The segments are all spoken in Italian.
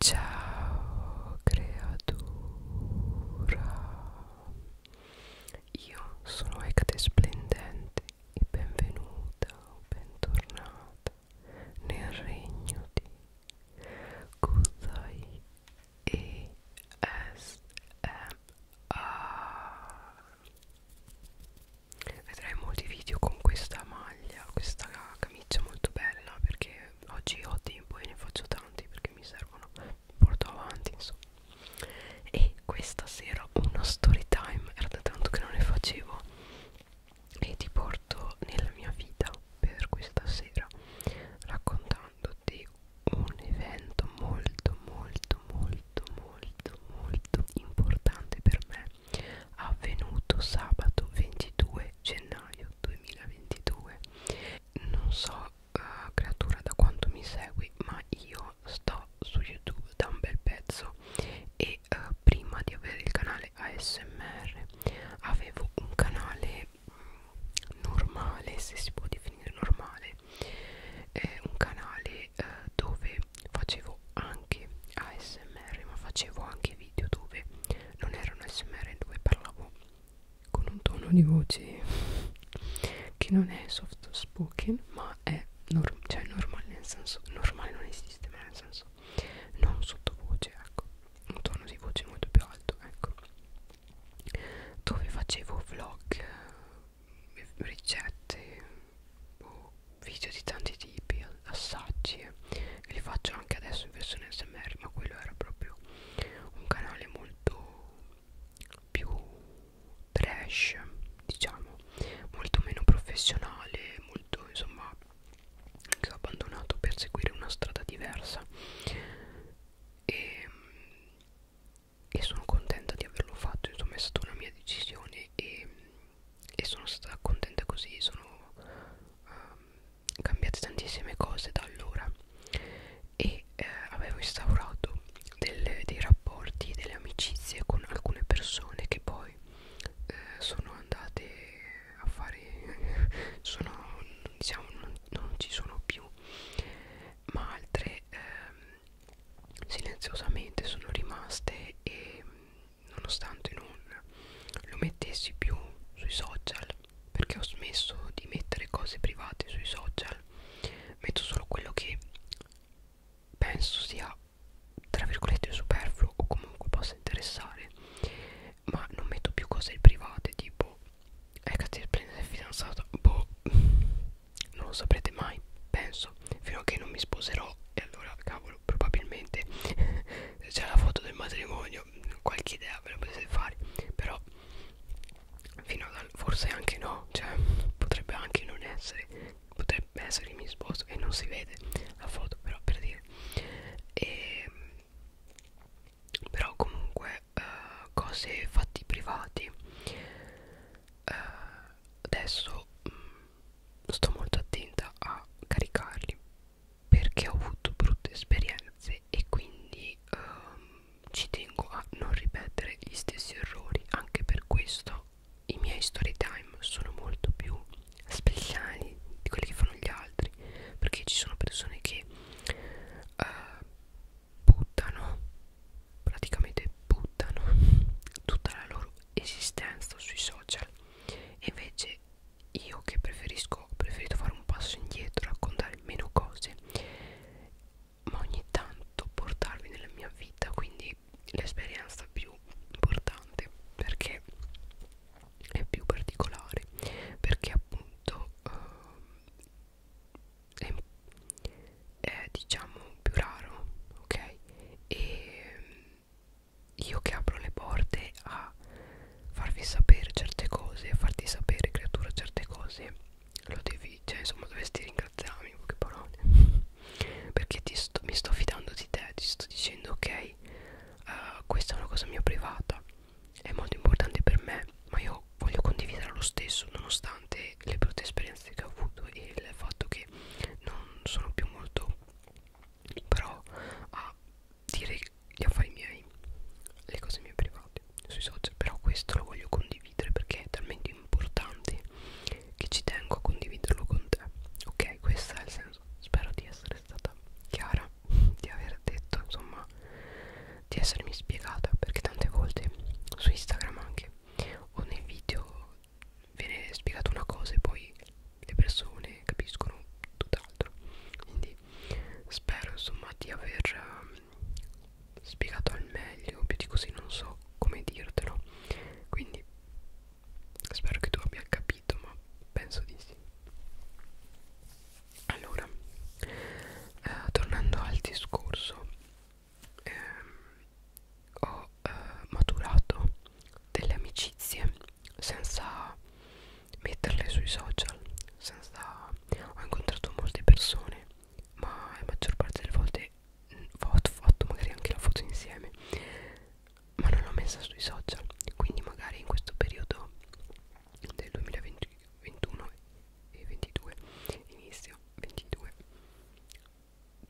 Ciao creatura, io sono Ecte Splendente e benvenuta o bentornata nel regno di Kuzai ESMA. Vedrai molti video con questa maglia, questa camicia molto bella perché oggi ho tempo e ne faccio tanti perché mi servono mi porto avanti insomma e questa sera uno story time era da tanto che non ne facevo e ti porto nella mia vita per questa sera raccontandoti un evento molto molto molto molto molto importante per me avvenuto sabato 22 gennaio 2022 non so uh, creatura da quanto mi segui ma io sto su youtube da un bel pezzo e uh, prima di avere il canale ASMR avevo un canale mm, normale se si può definire normale è eh, un canale eh, dove facevo anche ASMR ma facevo anche video dove non era un smr dove parlavo con un tono di voce che non è soft spoken ma è norm cioè normale nel senso normale non esiste ma nel senso non sottovoce ecco un tono di voce molto più alto ecco dove facevo vlog eh, ricette o boh, video di tanti tipi assaggi eh. e li faccio anche adesso in versione smr ma quello era proprio un canale molto più trash diciamo molto meno professionale molto insomma che ho abbandonato per seguire una strada diversa e, e sono contenta di averlo fatto insomma è stata una mia decisione e, e sono stata contenta così sono um, cambiate tantissime cose da allora e eh, avevo instaurato delle, dei rapporti, delle amicizie con alcune persone che poi eh, sono andate a fare, sono, diciamo, non, non ci sono più, ma altre eh, silenziosamente sono rimaste e nonostante non lo mettessi più sui social perché ho smesso di mettere cose private sui social metto solo quello che penso sia tra virgolette superfluo o comunque possa interessare ma non metto più cose private tipo eh cazzo prendete fidanzata boh non lo saprete mai penso fino a che non mi sposerò e allora cavolo probabilmente c'è la foto del matrimonio qualche idea ve la potete fare però fino ad forse anche no cioè potrebbe anche non essere potrebbe essere mi sposto e non si vede la foto però per dire e, ehm, però comunque uh, cose fatti privati uh, adesso mh, mm, sto molto attenta a caricarli perché ho avuto brutte esperienze e quindi um, ci tengo a non ripetere gli stessi errori anche per questo i miei story time sono molto più speciali di quelli che fanno gli altri perché ci sono persone che uh, buttano praticamente buttano tutta la loro esistenza sui social e invece io che preferisco ho preferito fare un passo indietro raccontare meno cose ma ogni tanto portarvi nella mia vita quindi l'esperienza più importante perché è più particolare perché appunto uh, è, è diciamo più raro ok e io che apro le porte a farvi sapere certe cose, a farti sapere creatura certe cose, lo devi, cioè insomma dovresti ringraziarmi, poche parole, perché ti sto, mi sto fidando di te, ti sto dicendo ok, uh, questa è una cosa mia privata, è molto importante per me, ma io voglio condividere lo stesso, nonostante le brutte esperienze che ho avuto e il fatto che non sono più molto però a dire gli affari miei, le cose mie private sui social, però questo lo voglio condividere perché è talmente importante che ci tengo a condividerlo con te. Ok, questo è il senso. Spero di essere stata chiara, di aver detto, insomma, di essermi spiegata perché tante volte su Instagram anche o nei video viene spiegata una cosa e poi le persone capiscono tutt'altro quindi spero insomma di aver uh, spiegato al meglio più di così non so come dirtelo quindi spero che tu abbia capito ma penso di sì allora uh, tornando al discorso ehm, ho uh, maturato delle amicizie senza metterle sui social senza ho incontrato molte persone ma la maggior parte delle volte mm, ho fatto magari anche la foto insieme ma non l'ho messa sui social quindi magari in questo periodo del 2021 e 22 inizio 22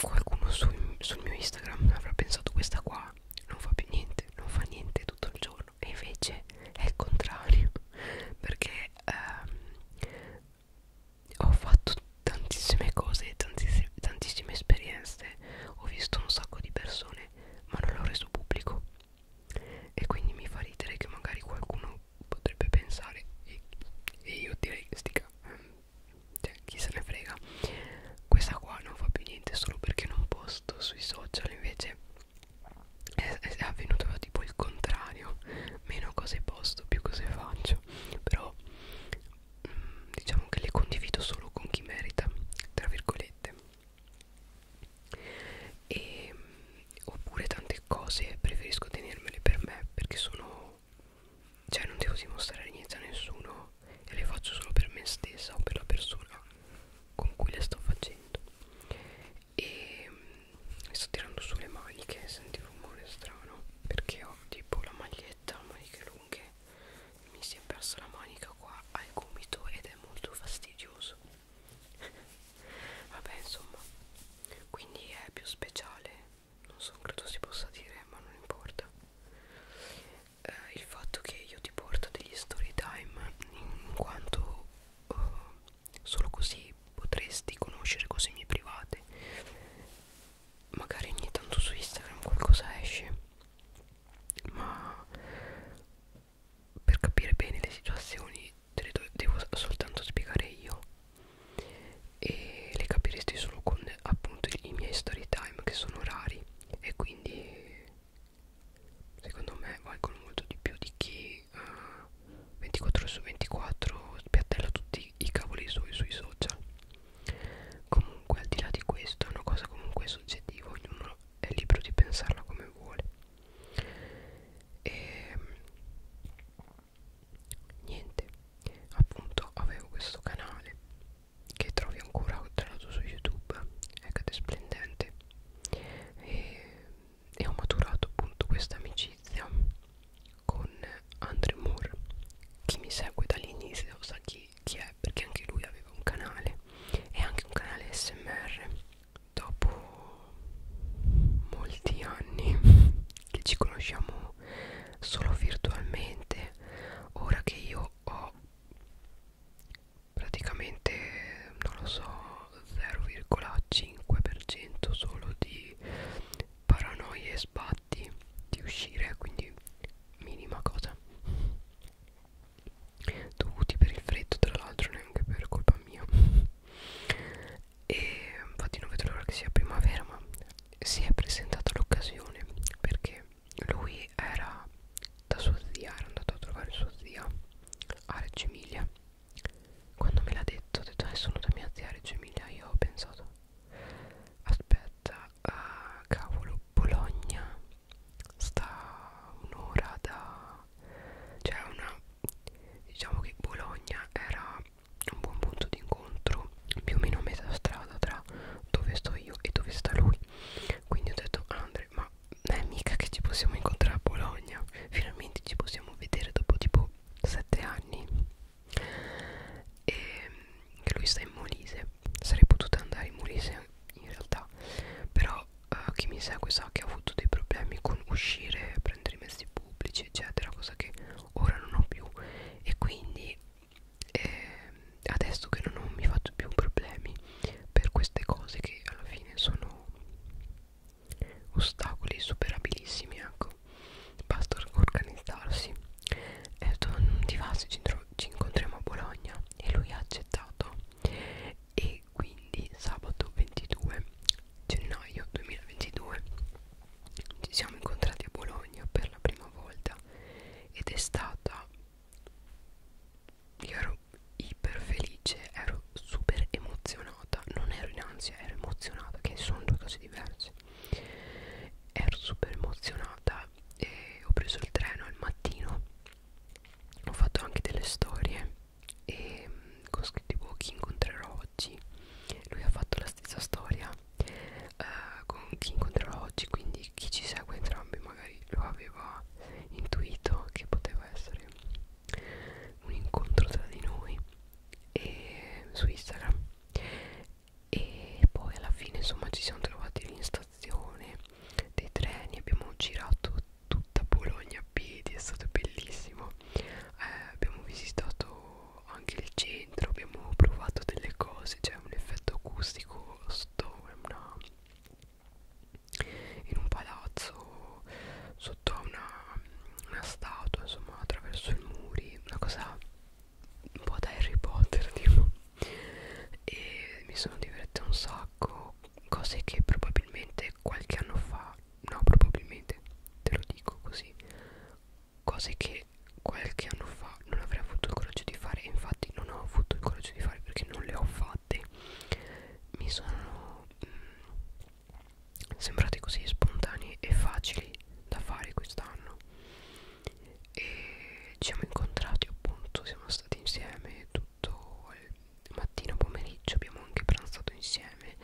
qualcuno sul, sul mio Instagram avrà pensato questa qua non fa più niente non fa niente tutto il giorno buono e invece è il contrario perché ehm, ho fatto tantissime cose tantissime, tantissime esperienze ho visto un sacco di persone ma non l'ho reso pubblico e quindi mi fa ridere che magari qualcuno potrebbe pensare e, e io direi stica cioè chi se ne frega questa qua non fa più niente solo perché non posto sui social invece è, è avvenuto tipo il contrario meno cose posto più cose faccio però mh, mm, diciamo che le condivido solo con chi merita tra virgolette e, oppure tante cose preferisco tenermele per me perché sono cioè non devo dimostrare niente a nessuno e le faccio solo per me stessa o per la persona con cui le sto facendo e mm, sto tirando su le maniche senti un rumore strano perché ho tipo la maglietta maniche lunghe mi si è persa la manica qua al gomito ed è molto fastidioso vabbè insomma quindi è più speciale non so credo si possa dire ma non importa eh, il fatto che io ti porto degli story time in quanto eh, solo così potresti conoscere cose mie private magari ogni tanto su Instagram qualcosa esce ma per capire bene le situazioni te le devo soltanto spiegare io e le capiresti solo con appunto i miei story time che sono rari e quindi secondo me valgono molto di più di chi uh, eh, 24 su 24 spiattella tutti i cavoli sui, sui social comunque al di là di questo è una cosa comunque soggettiva ognuno è libero di pensarla come vuole e ehm, niente appunto avevo questo canale che trovi ancora tra l'altro su youtube ecco ed è splendente e, e ho maturato appunto questa amicizia con Andrew Moore chi mi segue dall'inizio sa chi, chi è perché anche lui aveva un canale e anche un canale smr dopo molti anni che ci conosciamo solo virtualmente ora che io ho praticamente non lo so 0,5% solo di paranoie e sbatti di uscire quindi minima cosa dovuti per il freddo tra l'altro neanche per colpa mia e infatti non vedo l'ora che sia primavera ma si è presentata l'occasione perché lui era da sua zia, era andato a trovare sua zia a Reggio Emilia. Quando me l'ha detto, ho detto eh, sono da mia zia a Reggio Emilia, io ho pensato aspetta, uh, cavolo, Bologna sta un'ora da... cioè una... diciamo che Bologna era un buon punto di incontro più o meno a metà strada tra dove sto io e dove sta lui quindi ho detto Andre ma è mica che ci possiamo incontrare a Bologna finalmente ci possiamo vedere dopo tipo 7 anni e che lui sta in Molise sarei potuta andare in Molise in realtà però uh, chi mi segue sa che ho avuto dei problemi con uscire prendere i mezzi pubblici eccetera cosa che ora non ho più e quindi eh, adesso che non, non mi faccio più problemi per queste cose che alla fine sono ostacoli superabilissimi ecco basta organizzarsi e ho detto non ti va se ci, ci incontriamo a Bologna e lui ha accettato e quindi sabato 22 gennaio 2022 ci siamo incontrati a Bologna per la prima volta ed è stata io ero iper felice, ero super emozionata, non ero in ansia, ero emozionata, che sono due cose diverse. Ero super emozionata e ho preso il treno al mattino, ho fatto anche delle storie e mm, con scritto tipo chi incontrerò oggi. Lui ha fatto la stessa storia eh, con chi incontrerò oggi, quindi chi ci segue entrambi magari lo aveva intuito che poteva essere un incontro tra di noi e su Instagram e poi alla fine insomma ci siamo trovati lì in stazione dei treni abbiamo girato tutta Bologna a piedi è stato bellissimo eh, abbiamo visitato anche il centro abbiamo provato delle cose c'è cioè un effetto acustico sto, una in un palazzo sotto a una, una statua insomma attraverso i muri una cosa un po' da Harry Potter tipo e mi sono divertita un sacco cose che probabilmente qualche anno fa no probabilmente te lo dico così cose che qualche anno fa non avrei avuto il coraggio di fare e infatti non ho avuto il coraggio di fare perché non le ho fatte fatti mi sono mh, mm, sembrati così spontanei e facili da fare quest'anno e ci siamo incontrati appunto siamo stati insieme tutto il mattino pomeriggio abbiamo anche pranzato insieme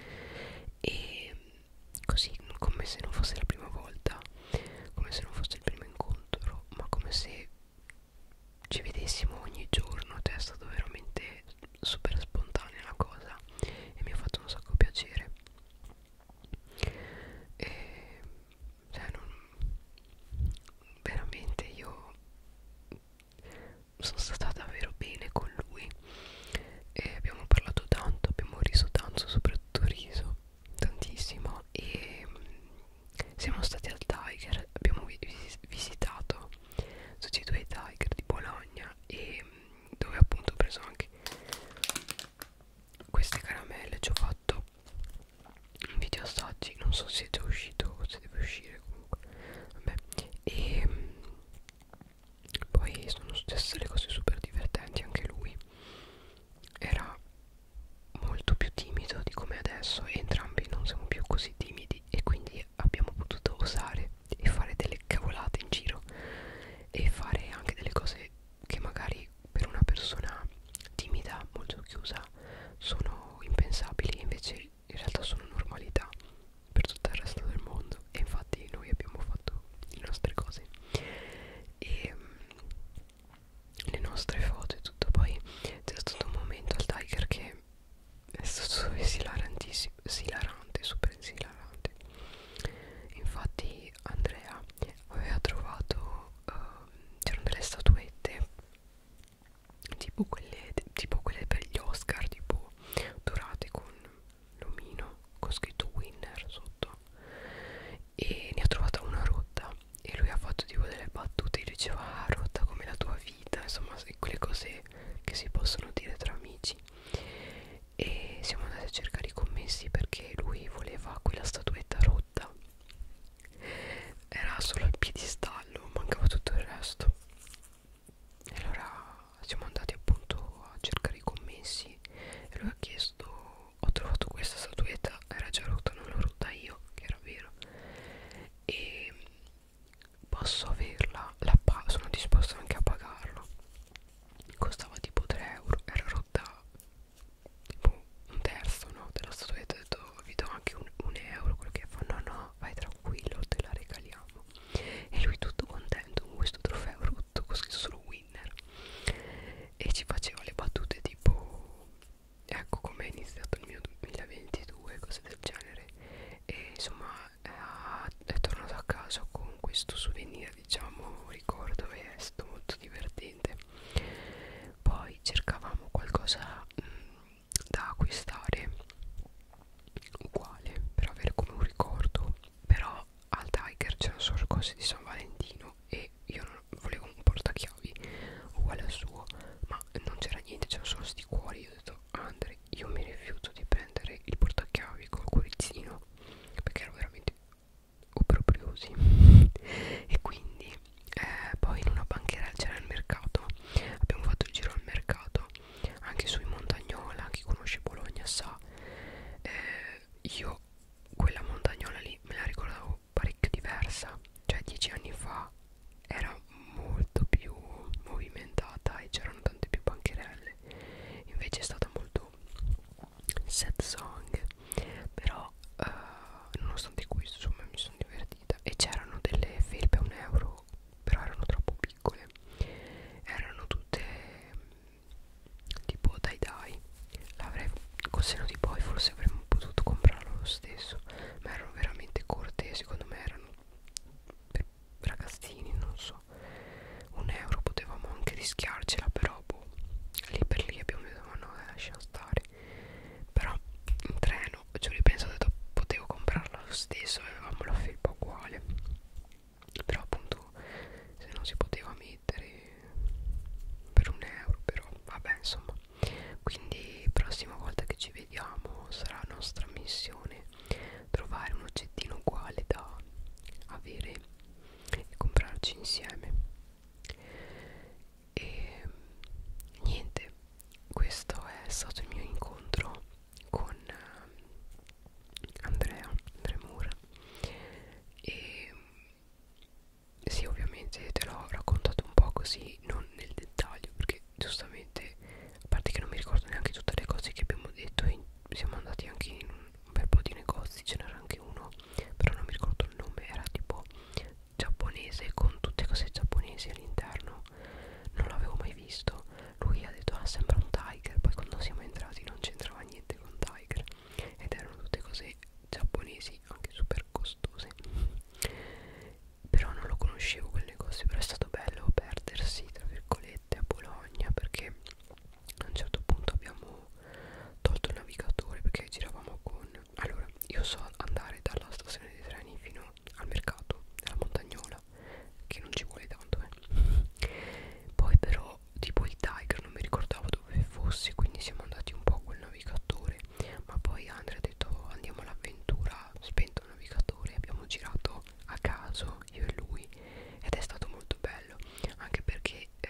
e così come se non fosse la prima volta come se non fosse il primo incontro ma come se ci vedessimo ogni giorno cioè è stato veramente super spontanea la cosa e mi ha fatto un sacco piacere e cioè non, veramente io sono stata davvero bene con lui e abbiamo parlato tanto abbiamo riso tanto soprattutto riso tantissimo e siamo stati al Tiger, abbiamo vi visitato tutti e due i Tiger di Bologna e mm, dove appunto ho preso anche queste caramelle, ci ho fatto un video assaggi, non so se è già uscito o se deve uscire comunque Vabbè. e mm, poi sono successe le cose super divertenti anche lui era molto più timido di come adesso e entrambi non siamo più così timidi e quindi abbiamo potuto osare e fare delle cavolate in giro e fare anche delle cose che magari per una persona timida, molto chiusa, sono impensabili invece in realtà sono normalità per tutto il resto del mondo e infatti noi abbiamo fatto le nostre cose e le nostre foto e tutto poi c'è stato un momento al Tiger che è stato esilarantissimo esilarante, super esilarante infatti Andrea aveva trovato uh, c'erano delle statuette tipo quelle, tipo quelle per gli Oscar tipo dorate con l'omino con scritto winner sotto e ne ha trovata una rotta e lui ha fatto tipo delle battute e diceva ah, rotta come la tua vita insomma quelle cose che si possono dire tra amici e siamo andati a cercare i commessi perché lui voleva quella statuetta rotta era solo il piedistallo mancava tutto il resto e allora siamo andati appunto a cercare i commessi e lui ha chiesto ho trovato questa statuetta era già rotta non l'ho rotta io che era vero e posso averla, la sono disposta anche a pagarla costava tipo 3 euro, era rotta tipo un terzo no, della statuetta ho detto vi do anche un, un euro quello che fa no no vai tranquillo te la regaliamo e lui tutto contento con questo trofeo rotto con scritto solo winner e ci faceva le battute tipo ecco come è iniziato il mio 2022 cose del genere e insomma eh, è tornato a casa con questo souvenir diciamo ricordo e è stato molto divertente poi cercavamo qualcosa mh, mm, da acquistare uguale per avere come un ricordo però al Tiger c'erano solo cose di San Valentino e io non volevo un portachiavi chiavi uguale al suo ma non c'era niente c'erano solo sti cuori io ho detto Andre io mi rifiuto di prendere il portachiavi col cuoricino perché ero veramente obbrobriosi e quindi eh, poi in una banchera c'era il mercato abbiamo fatto il giro al mercato anche sui montagnola chi conosce Bologna sa eh, io quella montagnola lì me la ricordavo parecchio diversa cioè dieci anni fa era molto più movimentata e c'erano tante più bancherelle invece è stata molto sad song però eh, nonostante questo insomma mi sono divertita e c'erano delle felpe a un euro però erano troppo piccole erano tutte tipo dai dai l'avrei col seno di poi forse avremmo potuto comprarlo lo stesso senso ma erano veramente corte secondo me erano per ragazzini non so un euro potevamo anche rischiarcela però boh, lì per lì abbiamo detto ma no eh, lasciamo stare però in treno ci ho ripensato ho detto potevo comprarla lo stesso avevamo la felpa uguale però appunto se non si poteva mettere per un euro però vabbè insomma quindi prossima volta che ci vediamo sarà nostra missione trovare un oggettino uguale da avere e comprarci insieme e niente questo è stato il mio incontro con Andrea Andremura e sì ovviamente te l'ho raccontato un po' così non nel dettaglio perché giustamente a parte che non mi ricordo neanche tutte le cose che abbiamo detto e siamo andati anche in un bel po' di negozi ce n'era anche uno però non mi ricordo il nome era tipo giapponese con tutte cose giapponesi all'interno non l'avevo mai visto lui ha detto ah sembra un tiger poi quando siamo entrati non c'entrava niente con tiger ed erano tutte cose giapponesi anche super costose però non lo conoscevo quel negozio però è stato bello perdersi tra virgolette a Bologna perché a un certo punto abbiamo tolto il navigatore perché giravamo con allora io so andare dalla stazione dei treni fino al mercato della montagnola che non ci vuole tanto eh. poi però tipo il tiger non mi ricordavo dove fosse quindi siamo andati un po' col navigatore ma poi Andrea detto andiamo all'avventura spento il navigatore abbiamo girato a caso io e lui ed è stato molto bello anche perché eh,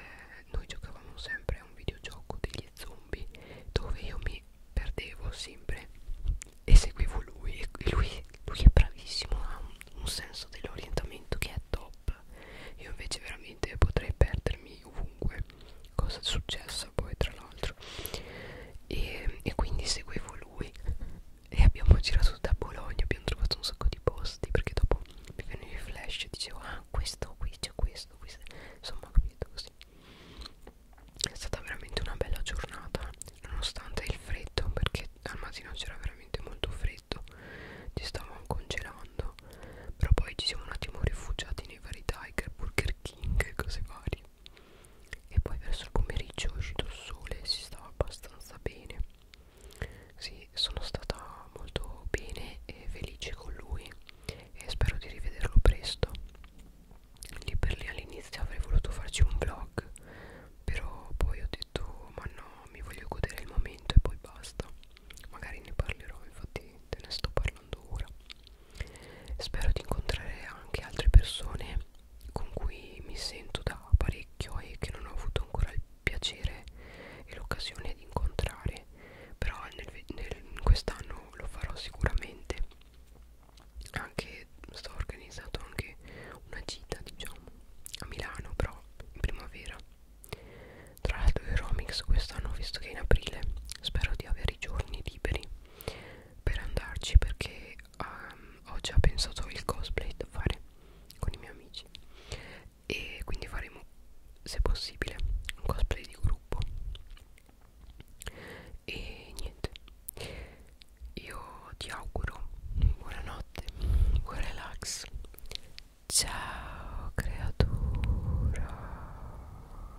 noi giocavamo sempre a un videogioco degli zombie dove io mi perdevo sempre e seguivo lui e lui, lui è bravissimo ha un, un senso dell'orientamento che è top io invece veramente potrei perdermi quindi ovunque cosa è successo poi tra l'altro e, e quindi seguivo lui e abbiamo girato da Bologna abbiamo trovato un sacco di posti perché dopo mi venivano i flash e dicevo ah questo qui c'è questo, questo insomma capito così è stata veramente una bella giornata nonostante il freddo perché al mattino c'era veramente molto freddo ci stavamo congelando però poi ci siamo un attimo rifugiati nei vari tiger burger king e cose varie e poi verso il pomeriggio è uscito il sole e si stava abbastanza bene sì sono stata molto bene e felice con lui e spero di rivederlo presto lì per lì all'inizio avrei voluto farci un vlog però poi ho detto ma no mi voglio godere il momento e poi basta magari ne parlerò infatti te ne sto parlando ora Spero di incontrare anche altre persone con cui mi sento da parecchio e che non ho avuto ancora il piacere e l'occasione di incontrare, però nel, nel, quest'anno lo farò sicuramente. Anche sto organizzando anche una gita, diciamo, a Milano, però in primavera. Tra l'altro i Romix quest'anno, visto che è in aprile, spero di avere i giorni liberi per andarci perché um, ho già pensato il cosplay da fare con i miei amici e quindi faremo se possibile un cosplay di gruppo e niente io ti auguro buonanotte buon relax ciao creatura